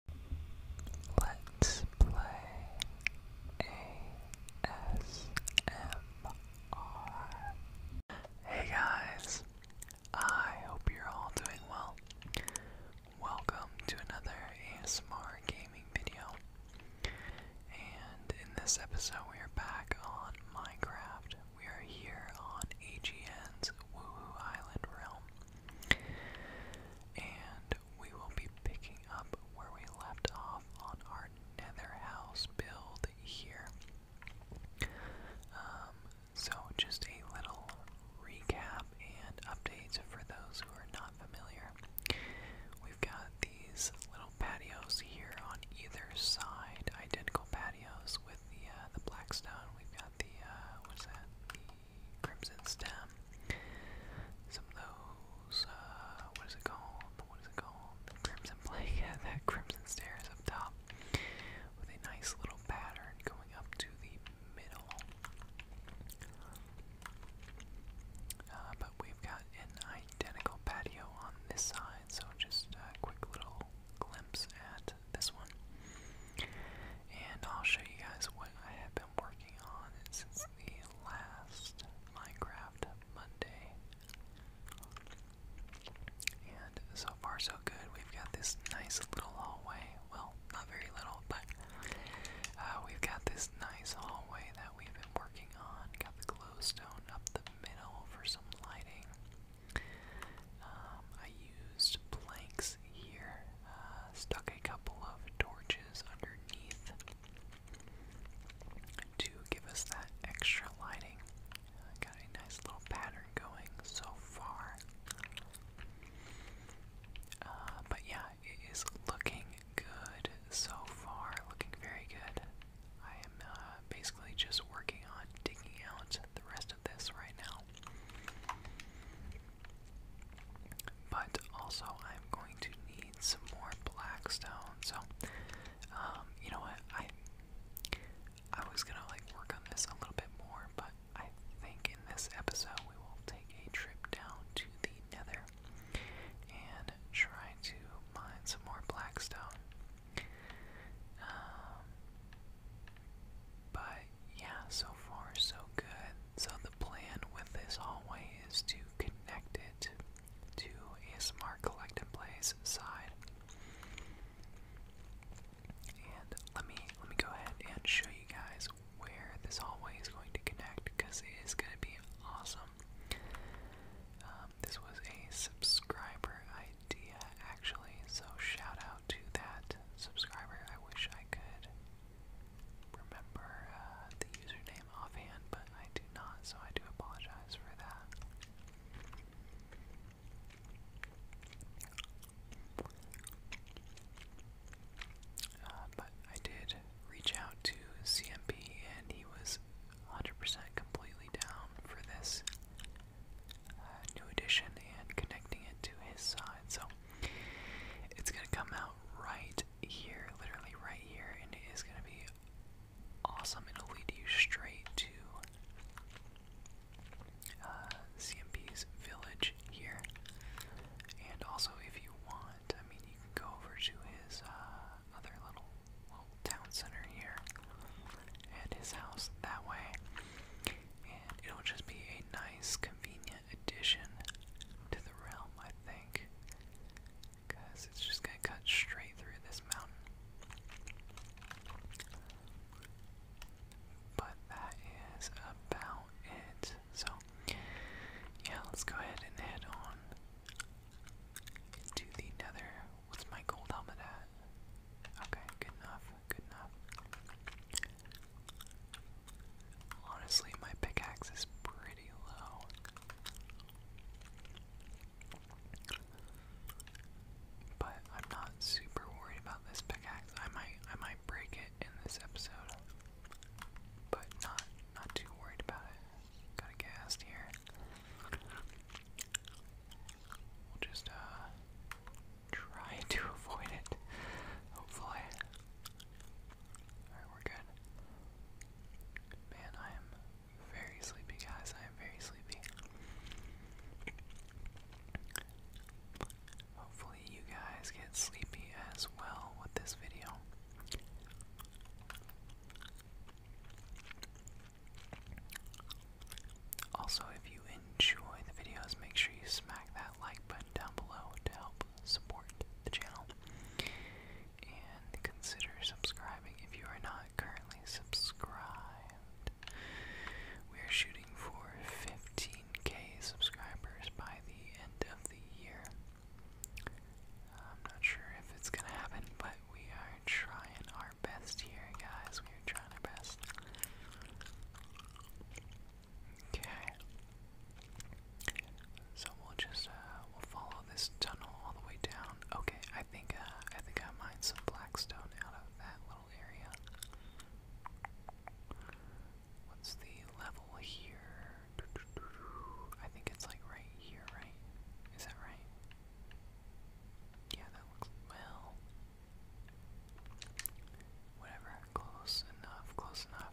Hey guys, I hope you're all doing well. Welcome to another ASMR gaming video. And in this episode, we are back on Minecraft. We are here on AGN's Woohoo Island Realm. And we will be picking up where we left off on our nether house build here. Um, so, just a little recap and updates for those who are not familiar. We've got these little patios here on either side, identical patios with the uh, the blackstone. We've got the uh, that? The Crimson Stem. Some of those, uh, what is it called? What is it called? Crimson Plague. that Crimson Stairs up top with a nice little pattern going up to the middle. Uh, but we've got an identical patio on this side, so just a quick little glimpse at this one. And I'll show you guys what I have been working on since the last Minecraft Monday. And so far so good. We've got this nice little hallway. Well, not very little, but uh, we've got this nice hallway that we've been working on. Got the glowstone up the middle for some lighting. Um, I used planks here uh, stuck a couple of torches underneath to give us that extra lighting. Uh, got a nice little pattern going so far. Uh, but yeah, it is looking good so far, looking very good. I am basically just working on digging out the rest of this right now. But also, I'm going to need some more black stone. So, um, you know what? I I was gonna like work on this a little bit more, but I think in this episode we will take a trip down to the Nether and try to mine some more black stone. Um, yeah, so far so good. So the plan with this hallway is to connect it to a Smart Collect place side. And let me let me go ahead and show you guys where this hallway is going to connect because it is going to be awesome. Um, this was a subscriber idea actually, so shout out to that subscriber. I wish I could remember uh, the username offhand, but I do not, so I do apologize for that. Uh, but I did reach out to CMP, and he was 100% completely down for this uh, new addition and connecting it to his side. So it's gonna come out right here, literally right here, and it is gonna be awesome. It'll lead you straight to uh, CMP's village here, and also if you want, I mean, you can go over to his uh, other little town center here and his house that way, and it'll just be a nice, convenient addition to the realm, I think. Because it's just gonna cut straight through this mountain. But that is about it. So, yeah, let's go ahead and head on to the nether. What's my gold helmet at? Okay, good enough, good enough. Honestly, my pickaxe is pretty low. But I'm not super worried about this pickaxe. I might I might break it in this episode. But not not too worried about it. Got a gassed here. We'll just uh, try to avoid it. Hopefully. Alright, we're good. Man, I am very sleepy, guys. I am very sleepy. Hopefully, you guys get sleepy as well with this video. Also, if you enjoy the videos, make sure you smack that like button down below to help support the channel. And consider subscribing if you are not currently subscribed. We are shooting for 15k subscribers by the end of the year. I'm not sure if it's gonna happen, but we are trying our best here, guys. We are trying our best. Okay. So we'll just uh we'll follow this tunnel all the way down. Okay, I think uh I think I mined some blackstone out of that little area. What's the level here? I think it's like right here, right? Is that right? Yeah, that looks well. Whatever, close enough, close enough.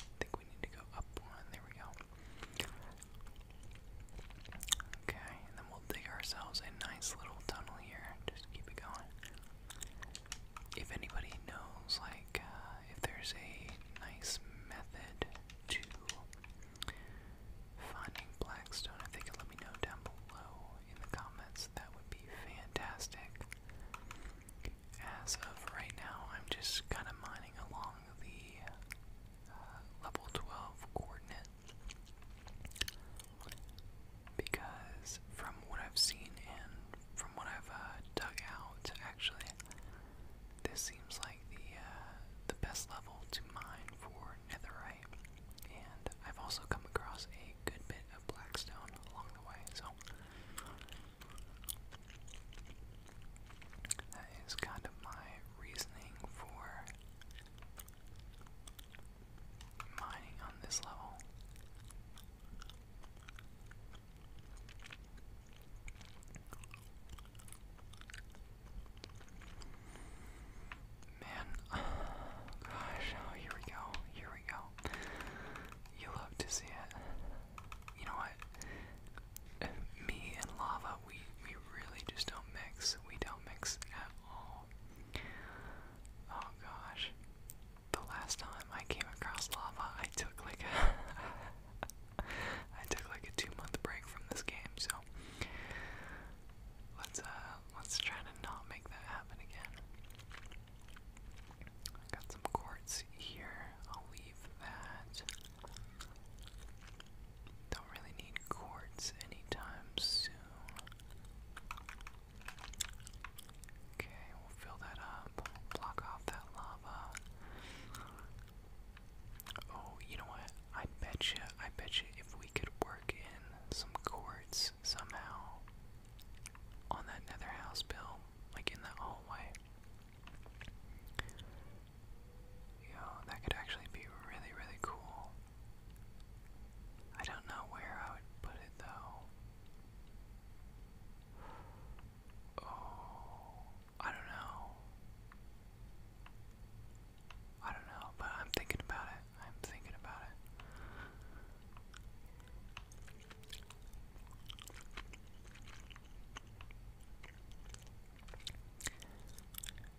I think we need to go up one. There we go. Okay, and then we'll dig ourselves a nice little tunnel here. Just keep it going. If anybody knows, like, uh, if there's a nice method to finding blackstone, if they could let me know down below in the comments, that would be fantastic. As of right now, I'm just kind of mining along the uh, level 12 coordinate. Because from what I've seen and from what I've uh, dug out, actually, this seems like the uh, the best level to mine for netherite. And I've also come across a good bit of blackstone along the way, so that is kind of my reasoning for mining on this level. Man, gosh, oh, here we go, here we go. You love to see it. You know what? Me and lava, we we really just don't mix. We don't mix at all. Oh gosh. The last time I came across lava, I took like a I took like a two month break from this game, so let's uh, let's try to not make that happen again. I got some quartz here. I'll leave that. Don't really need quartz anytime soon. Okay, we'll fill that up. Block off that lava. Oh, you know what? I betcha, I betcha if we could work in some quartz somehow, on that nether house, Bill, like in that hallway. Yo, that could actually be really, really cool. I don't know where I would put it though. Oh, I don't know. I don't know, but I'm thinking about it. I'm thinking about it.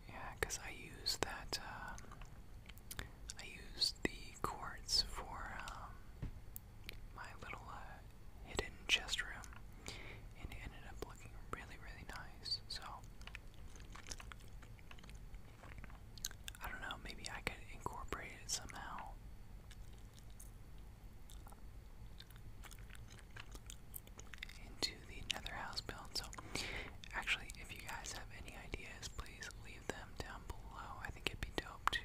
Yeah, I used that, um, I use the quartz for um, my little uh, hidden chest room, and it ended up looking really, really nice. So, I don't know, maybe I could incorporate it somehow into the nether house build. So, actually, if you guys have any ideas, please leave them down below. I think it'd be dope to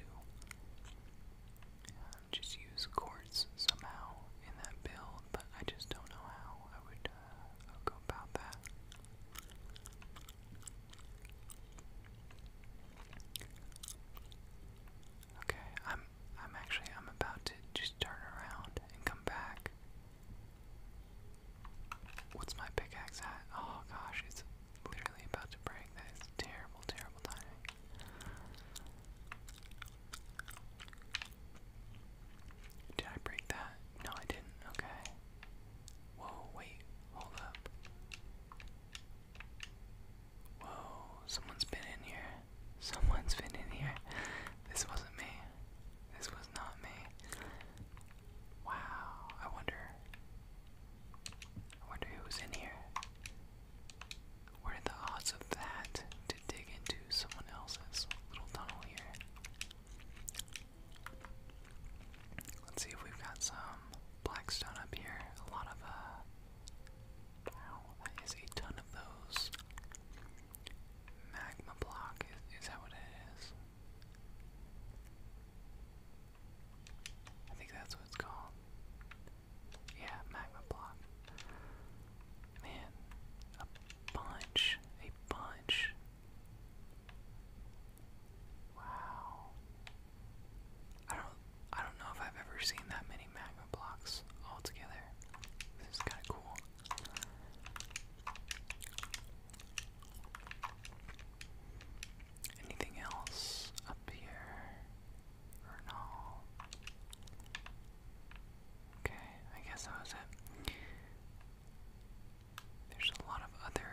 um, just use quartz somehow in that build, but I just don't know how I would uh, go about that. Okay, I'm I'm actually I'm about to just turn around and come back. What's my pickaxe at? Oh gosh, it's literally about to break. That is terrible, terrible timing. Did I break that? No, I didn't. Okay. Whoa, wait, hold up. Whoa, someone's been in here. Someone's been in here. This wasn't me. This was not me. Wow, I wonder. I wonder who in here. What are the odds of that to dig into someone else's little tunnel here? Let's see if we've got some black up here. A lot of uh, Wow, that is a ton of those. Magma block, is that what it is? I think that's what it's called. Yeah, magma block. Man, a bunch, a bunch. Wow. I don't I don't know if I've ever seen that many magma blocks all together. This is kinda cool. Anything else up here? Or no? Okay, I guess that was it. There's a lot of other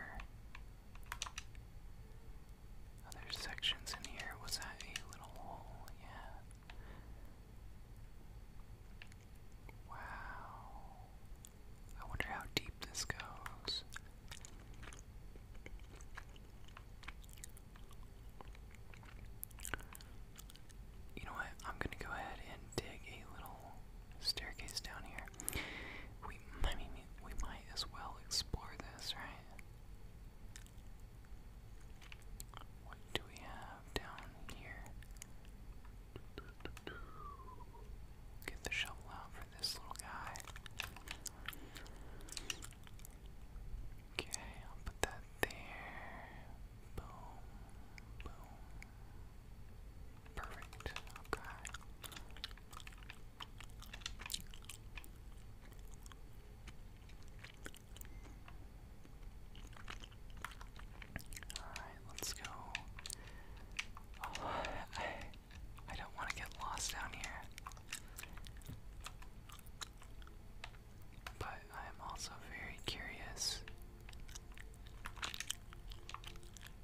other sections in here. Was that a little hole? Yeah. Wow. I wonder how deep this goes. You know what? I'm gonna go ahead and dig a little staircase down here. We, I mean, we might as well explore this, right? What do we have down here? Get the shovel out for this little guy. Okay, I'll put that there. Boom. Boom. Perfect. Okay. Alright, let's go. Oh, I, I don't want to get lost down here. But I'm also very curious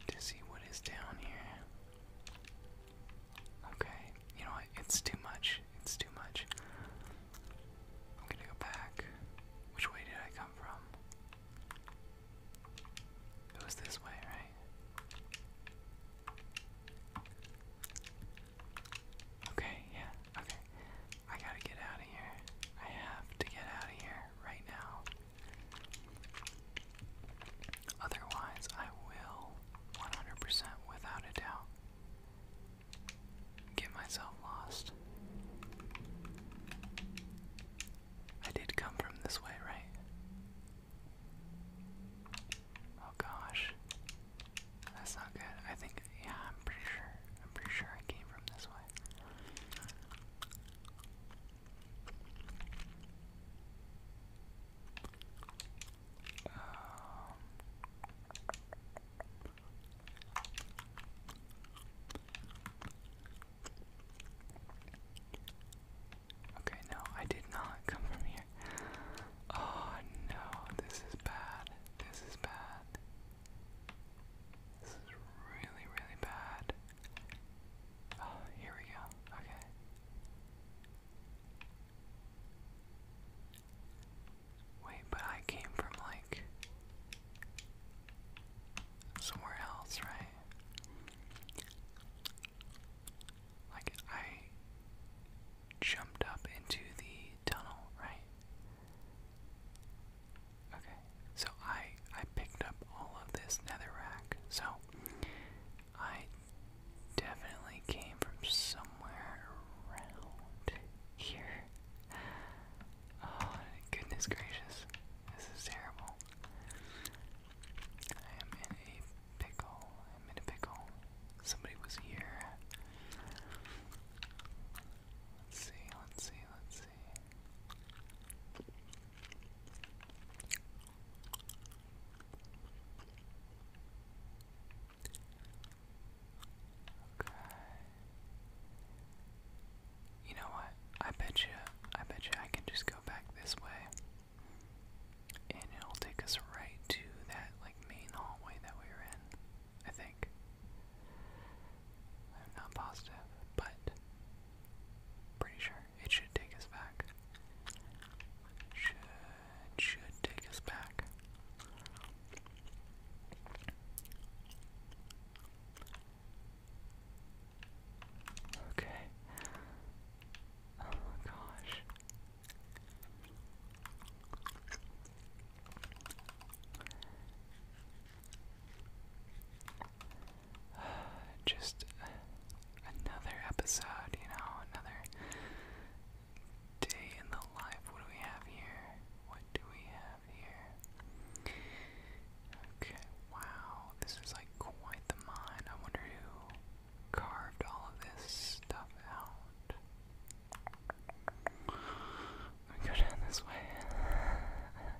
to see what is down here. Okay, you know what? It's too much. It's too much. I'm gonna go back. Which way did I come from? It was this way, right? Okay, yeah, okay. I gotta get out of here. I have to get out of here right now. Otherwise, I will 100% without a doubt get myself lost. I did come from this way, right? Oh gosh. That's not good. I think, yeah, I'm pretty sure. I'm pretty sure I came from this way. Um, okay, no, I did not come from here. Oh no, this is bad. This is bad. This is really, really bad. Oh, here we go. Okay. Wait, but I came from like somewhere else, right? Like I jumped up into the tunnel, right? Okay, so I I picked up all of this netherrack. So I definitely came from somewhere around here. Oh, goodness gracious. This is terrible. I am in a pickle. I'm in a pickle. Somebody was here. Let's see, let's see, let's see. You know what? I bet you, I bet you I can just go back this way. And it'll take us right to that, like, main hallway that we were in. I think. I'm not positive, but pretty sure it should take us back. Should it should take us back. Okay. Oh my gosh. Just another episode, you know, another Day in the life. What do we have here? What do we have here? Okay, wow. This is like quite the mine. I wonder who carved all of this stuff out. Let me go down this way.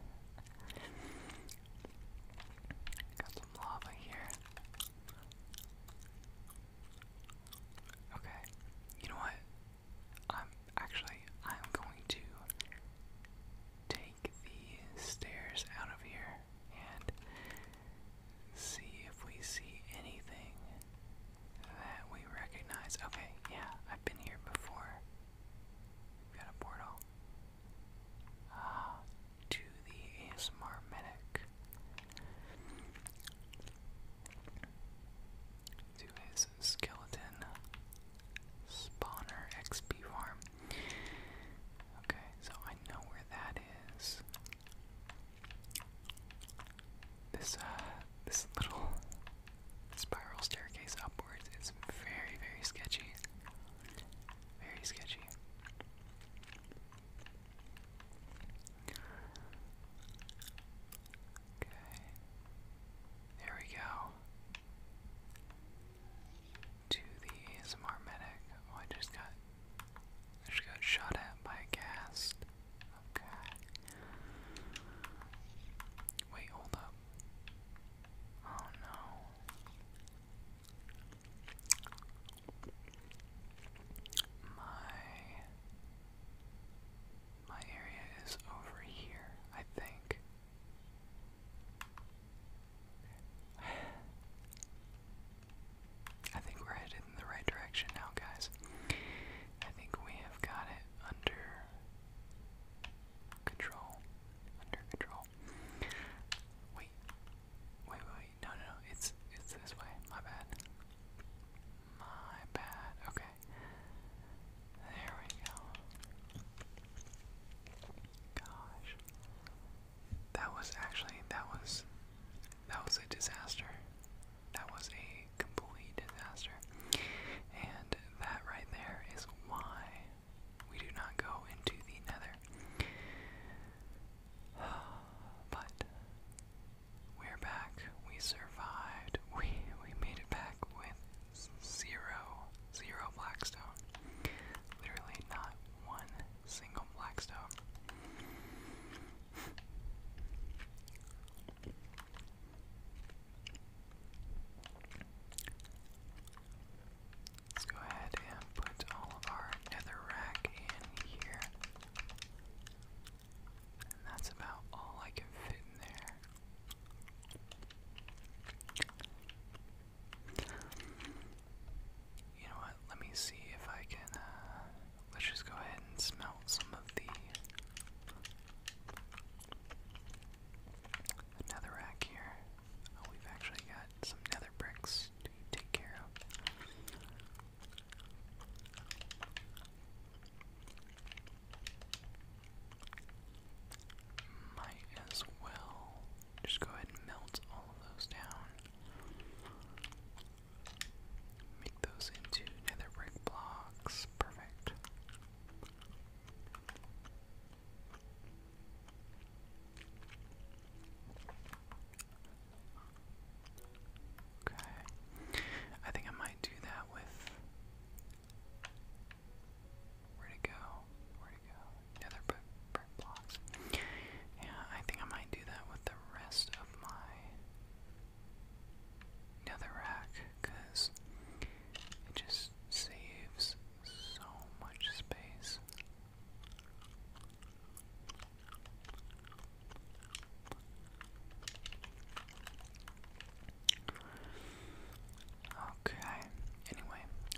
Got some lava here. Okay. You know what? I'm actually I'm going to take the stairs out of here and see if we see anything that we recognize. Okay, yeah, I've been here before. we got a portal. Ah, to the ASMR medic to his skeleton spawner XP farm. Okay, so I know where that is. This uh this little spiral staircase upwards is very, very sketchy. Very sketchy. Okay. There we go. To the ASMR medic. Oh, I just got I just got shot at by a ghast. Okay. Wait, hold up. Oh no. My my area is over here, I think. I think we're headed in the right direction now, guys. I think we have got it under control. Under control. Wait. Wait, wait, No, no, no. It's it's this way. My bad. My bad. Okay. There we go. Gosh. That was actually that was that was a disaster. That was a complete disaster. And that right there is why we do not go into the nether. But we're back. We survived. We we made it back with zero zero blackstone. Literally not one single blackstone. Let's go ahead and put all of our nether rack in here. And that's about all I can fit in there. You know what? Let me see if I can. Uh, let's just go ahead and smelt some of the another rack here. Oh, we've actually got some nether bricks to take care of. Might as well just go ahead and melt all of those down. Make those into nether brick blocks. Perfect. Okay. I think I might do that with. Where'd go? Where'd go? Yeah, they're brick, blocks. Yeah, I think I might do that with the rest of my nether rack, because it just saves so much space. Okay. Anyway,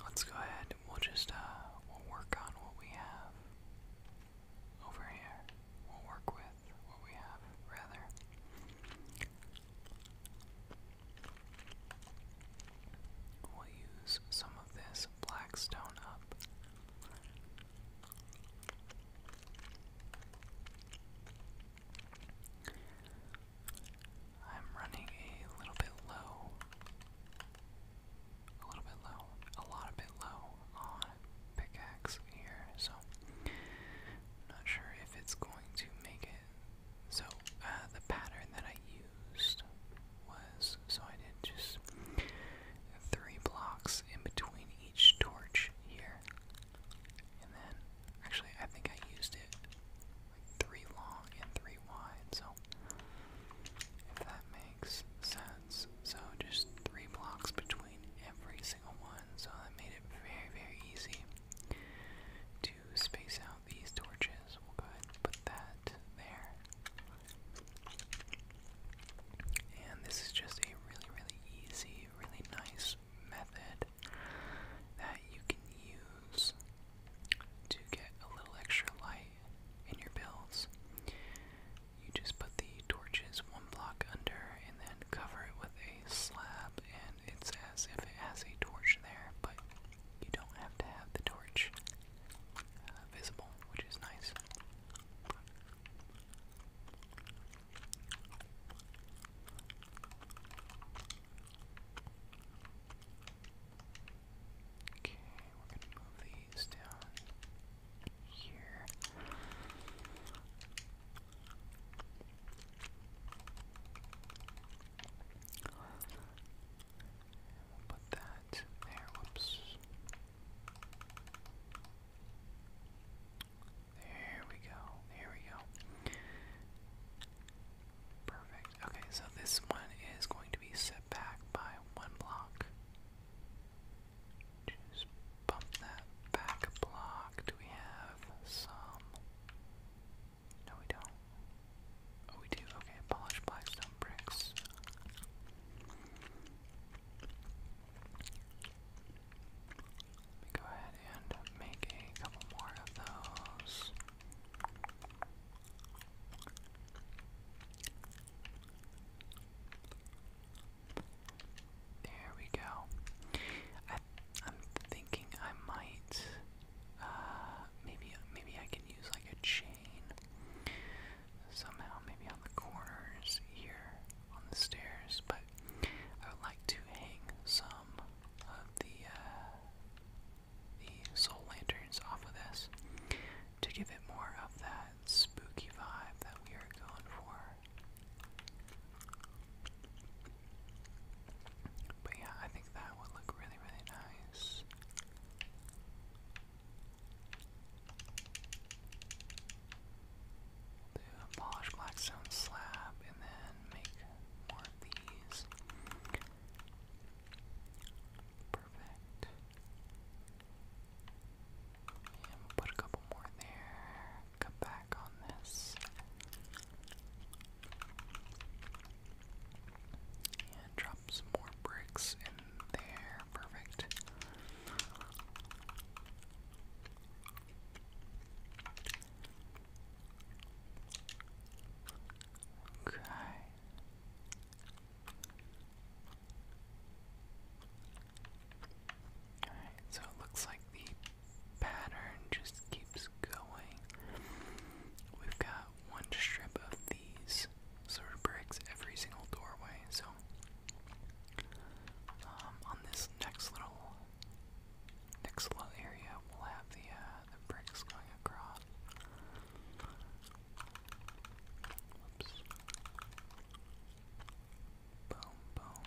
let's go ahead we'll just uh, we'll work on what we have over here. We'll work with what we have rather. We'll use some of this black stone up. I'm running a little bit low. A little bit low. A lot of bit low on pickaxe here, so not sure if it's going to make it. So uh, the pattern that I used was so I did just three blocks in between each torch here. And then, actually, I think I used it three long and three wide, so if that makes sense. So just three blocks between every single one, so that made it very, very easy to space out these torches. We'll go ahead and put that there. And this is just a really, really easy really, nice method that you can use to get a little extra light in your builds. You just put the torches one block under and then cover it with a slab, and it's as if it has a torch there, but you don't have to have the torch uh, visible, which is nice. Okay, we're going to move these down here. we'll put that there. Whoops. There we go. There we go. Perfect. Okay, so this one is going to be set back by one block. Just bump that back block. Do we have some? No, we don't. Oh, we do. Okay, polished blackstone bricks. Let me go ahead and make a couple more of those. There we go. I, am thinking I might, uh, maybe maybe I can use like a chain somehow, maybe on the corners here on the stairs, but I would like to hang some of the uh, the soul lanterns off of this to give it more of that spooky vibe that we are going for. But yeah, I think that would look really, really nice do a polished blackstone slab and then make more of these. Perfect. put a couple more there. Come back on this. And drop some more bricks in there. Perfect. Okay. Alright, so it looks like the pattern just keeps going. We've got one strip of these sort of bricks every single doorway, so um, on this next little, next little area, we'll have the uh, the bricks going across. Boom, boom,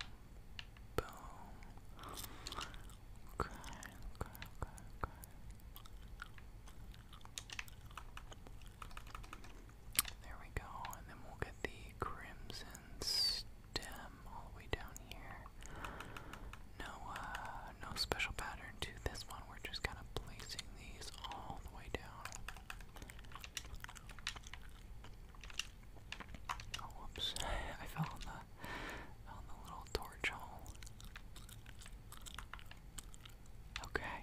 boom. Okay, okay, okay, okay. There we go, and then we'll get the crimson stem all the way down here. No, uh, no special pattern to this one. We're just kind of placing these all the way down. Oh, whoops! I fell on the on the little torch hole. Okay,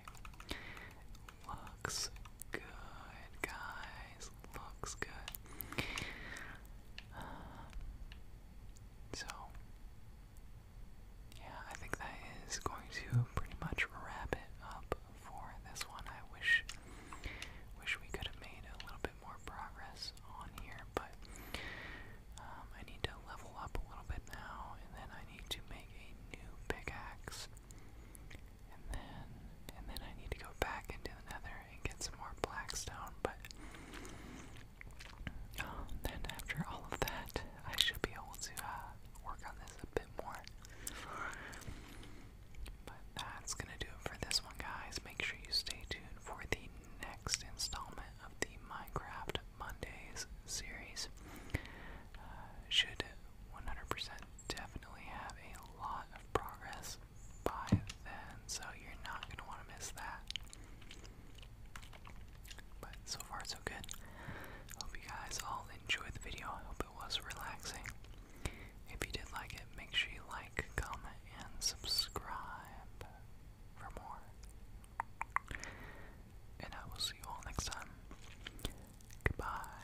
looks good, guys. Looks good. Uh, so, yeah, I think that is going to pretty much wrap it up for this one. I wish, wish we could have made a little bit more progress on here, but um, I need to level up a little bit now, and then I need to make a new pickaxe. And then and then I need to go back into the nether and get some more blackstone, but oh, then after all of that I should be able to uh, work on this a bit more. But that's gonna do it for this one guys. Make sure you stay tuned for the next installment of the Minecraft Mondays series. Uh, should 100% definitely have a lot of progress by then, so you're not gonna want to miss that. But so far, so good. Hope you guys all enjoyed the video. I hope it was relaxing. If you did like it, make sure you like, comment, and subscribe for more. And I will see you all next time. Goodbye.